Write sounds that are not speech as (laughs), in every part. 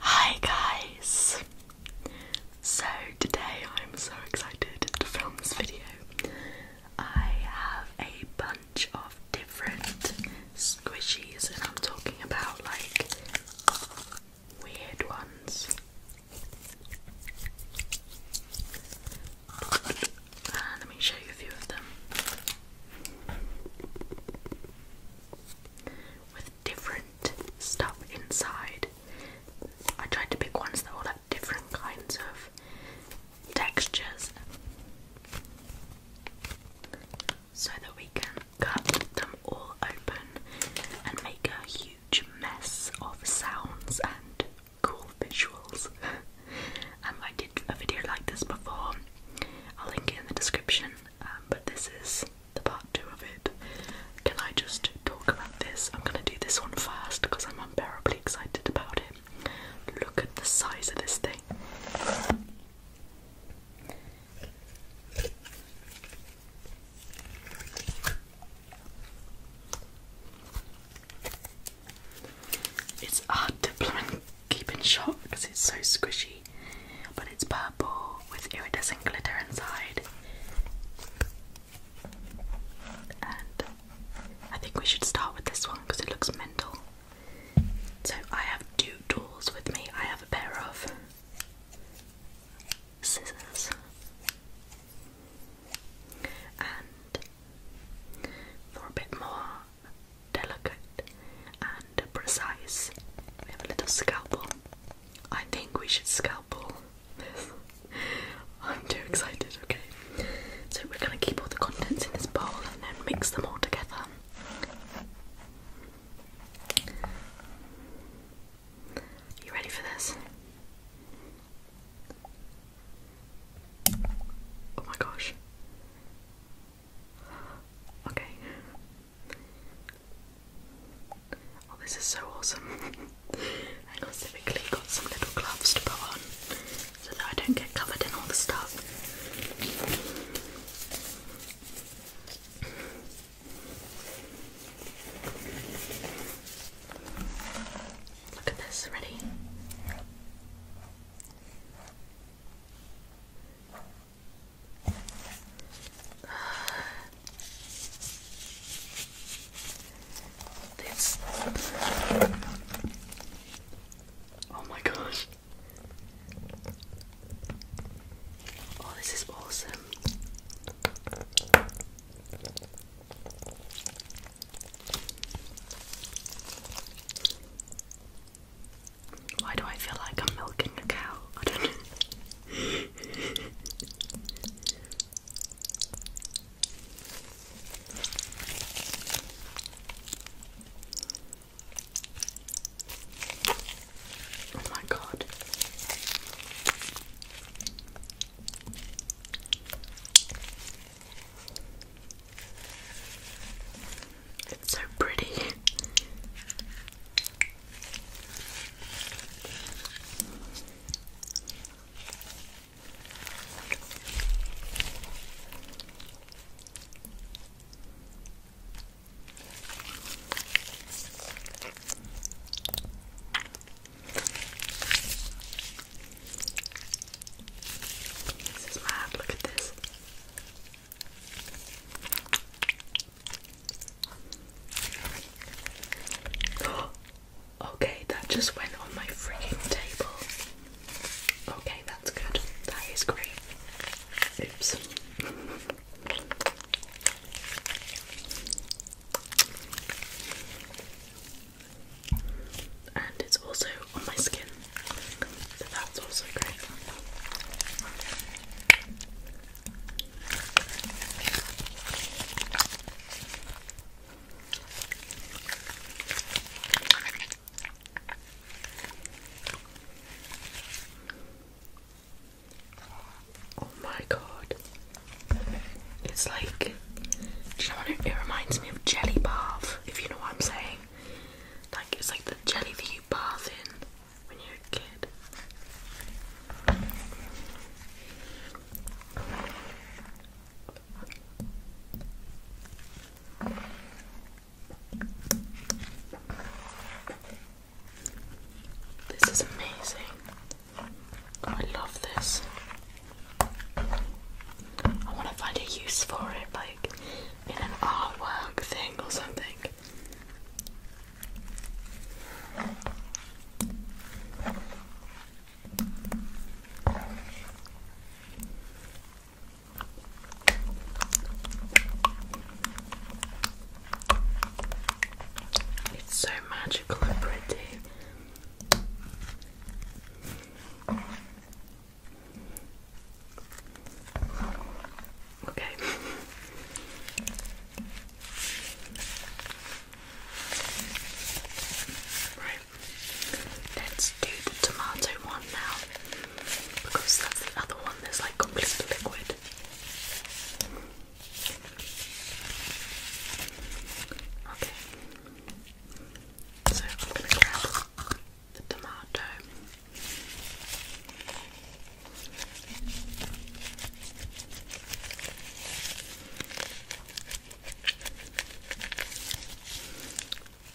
Hi guys! So today I'm so excited to film this video. I have a bunch of different squishies and I'm talking about like weird ones. Uh, let me show you a few of them with different stuff inside. I tried to pick ones that all had different kinds of textures so that we can cut them all open and make a huge mess of sounds and cool visuals. (laughs) Um, I did a video like this before, I'll link it in the description. Um, but this is the part two of it. Can I just talk about this? I'm gonna do this one first because I'm unbearably excited about it. Look at the size of this thing. It's hard keep in shot because it's so squishy. But it's purple with iridescent glitter inside. And I think we should start with this one because it looks mental. So I have two tools with me. I have a pair of scissors and for a bit more delicate and precise. We have a little scalpel. I think we should scalpel this. (laughs) I'm too excited, okay. So we're gonna keep all the contents in this bowl and then mix them all together. You ready for this? Oh my gosh. Okay. Oh, this is so awesome. (laughs) I specifically got some little gloves to put on so that I don't get covered in all the stuff. Look at this, ready? This. Oh my gosh. Oh, this is awesome. Why do I feel like I'm milking a cow? I don't know. Oh my god. It's so pretty. This is mad, look at this. (gasps) okay, that just went on my freaking table. Okay, that's good. That is great. Oops and it's also on my skin, so that's also great. Oh my god. It's like you know it reminds me of jelly bath, if you know what I'm saying. Like it's like the jelly that you bath in when you're a kid. This is amazing. I love this. I want to find a use for it, like in an artwork thing or something. It's so magical and pretty. Okay. Right. Let's do the tomato one now. Because that's the other one that's like completely liquid. Okay. So I'm going to grab the tomato.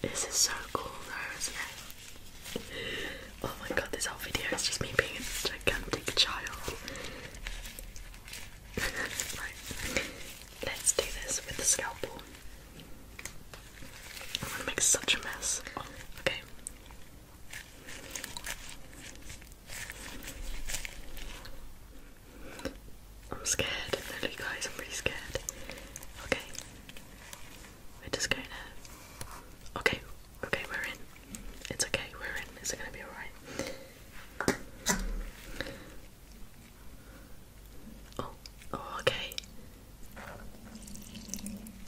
This is so cool though, Oh my god, this whole video is just me being a gigantic child. (laughs) right, let's do this with the scalpel. I'm gonna make such a mess. Okay. I'm scared, literally guys, I'm really scared. Okay. We're just going to... Okay, okay, we're in. It's okay, we're in. Is it gonna be alright? Oh, oh, okay.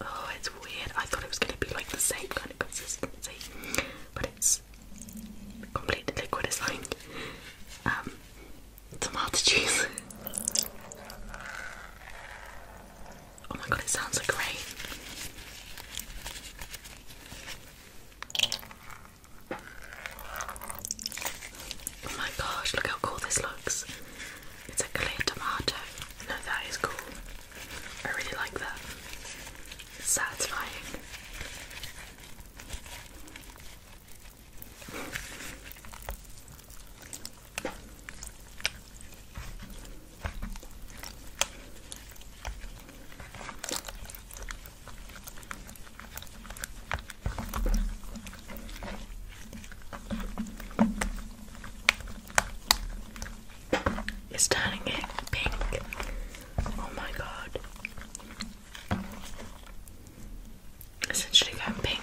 Oh, it's weird. I thought it was going to be like the same kind of consistency, but it's completely liquid. um, tomato juice. oh my god, it sounds like Oh my gosh, look how cool this looks. It's a clear tomato. No, that is cool. I really like that. satisfying. It's turning it pink. Oh my god. Essentially going pink.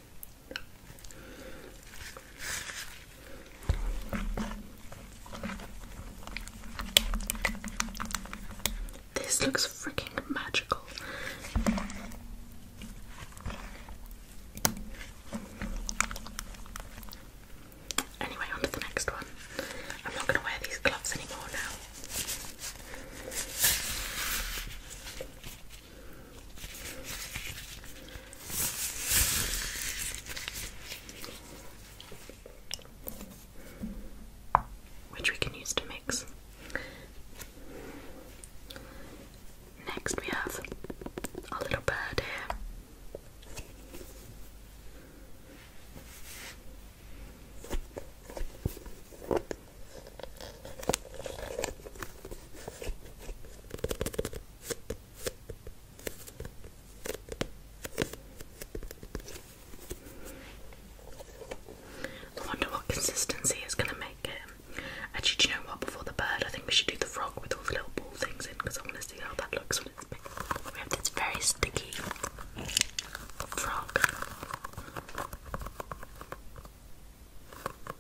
This looks freaking magical. Anyway, on the next one. I'm not going to wear these gloves anymore now which we can use to mix. Next, we have a little bird here. I wonder what consistency is going to make it. Actually, do you know what? Before the bird, I think we should do the frog with all the little ball things in because I want to see how that looks when it's big. We have this very sticky frog.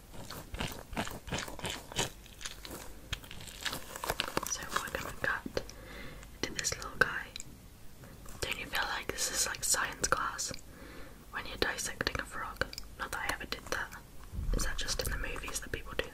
So we're gonna cut to this little guy. Don't you feel like this is like science class when you're dissecting a frog? Not that I ever did that. Is that just in the movies that people do that?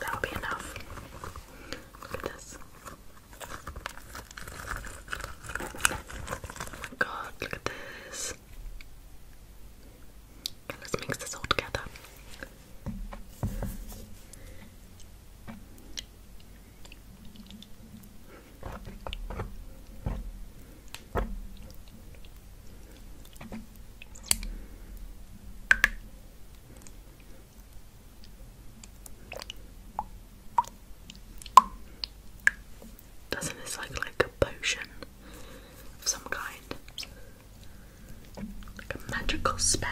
That'll be enough. Look at this. Oh God, look at this. let's mix this all together. Doesn't this look like a potion of some kind? Like a magical spell.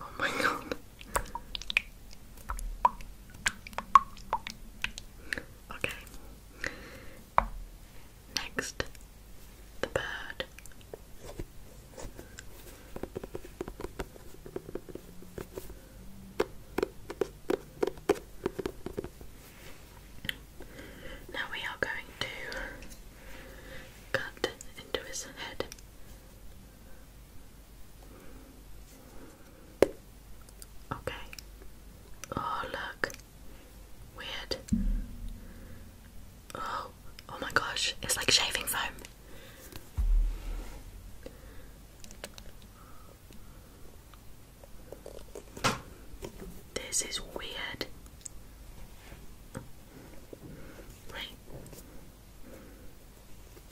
Oh my god. Okay. Next, the bird. Now we are going to cut into his head. Okay. Oh, look. Weird. Oh, oh my gosh. It's like shaving foam. This is weird. Wait.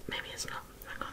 Maybe it's not. Hang on.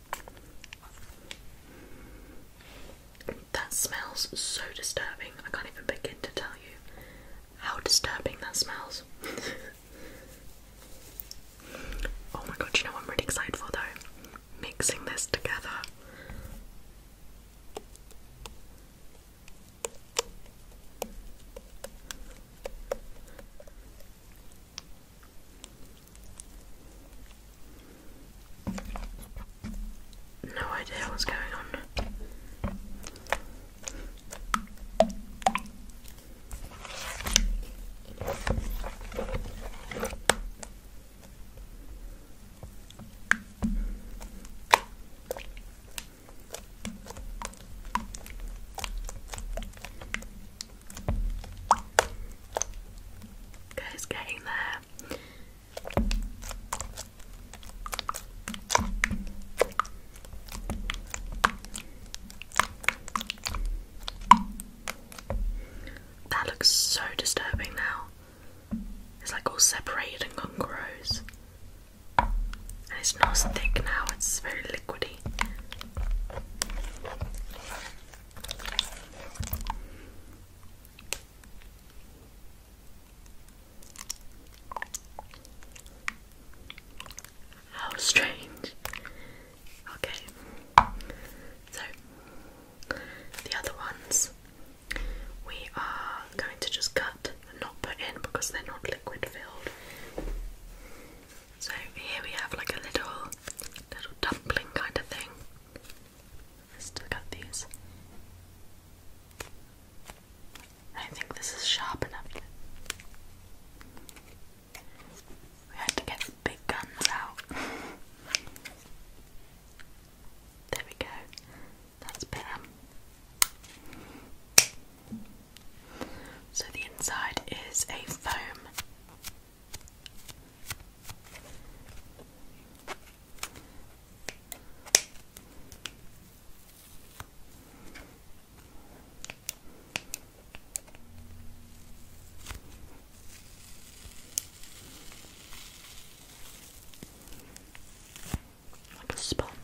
That smells so disturbing. I can't even begin to tell you how disturbing that smells. (laughs) oh my god, you know what I'm really excited for though? Mixing this together. No idea what's going on. it's getting there. That looks so disturbing now. It's like all separated and gone gross. And it's not as thick now, it's very liquidy. How strange. Okay, so the other ones we are going to just cut and not put in because they're not liquid filled. So here we have like a little little dumpling kind of thing still got these. I think this is sharp enough. We had to get the big guns out. there we go. That's better. So the inside is a foam like a sponge.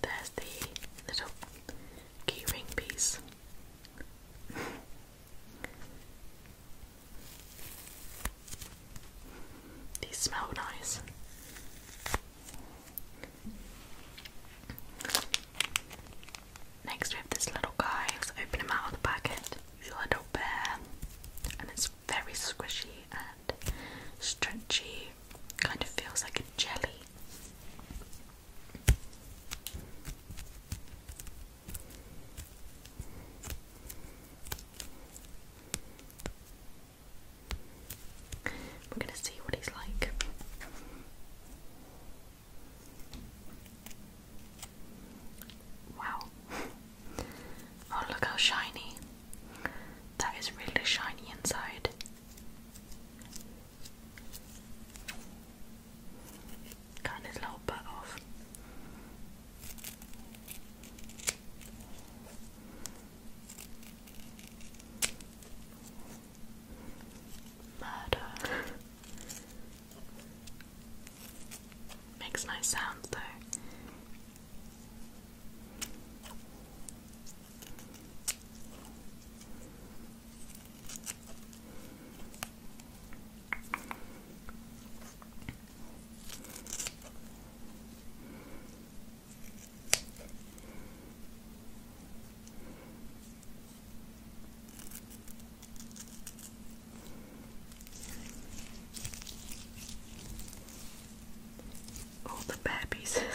There's the little keyring piece. (laughs) These smell nice. Next we have this little guy, let's open him out of the packet. He's a little bear and it's very squishy and stretchy. Kind of feels like jelly. We're going to see what he's like. Wow. (laughs) Oh, look how shiny. That is really shiny inside. Cutting his little butt off. Murder. Makes nice sounds though. All the bare pieces. (laughs) (laughs)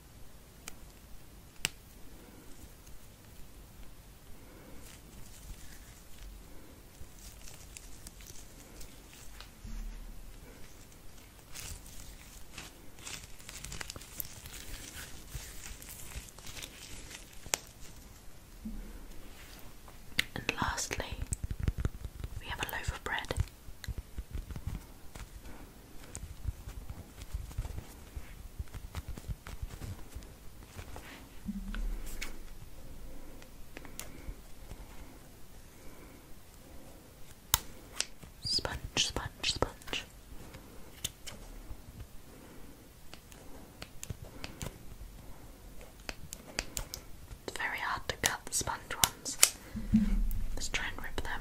And lastly, we have a loaf of bread. Sponge, sponge, sponge. It's very hard to cut the sponge ones. Let's try and rip them.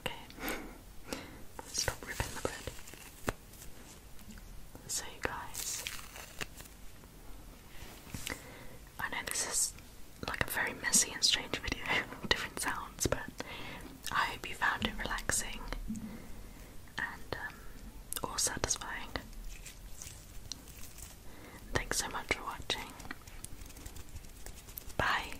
Okay. Stop ripping the bread. So, guys, I know this is like a very messy and strange video, (laughs) different sounds, but I hope you found it relaxing and um, satisfying. Thanks so much for watching. Bye.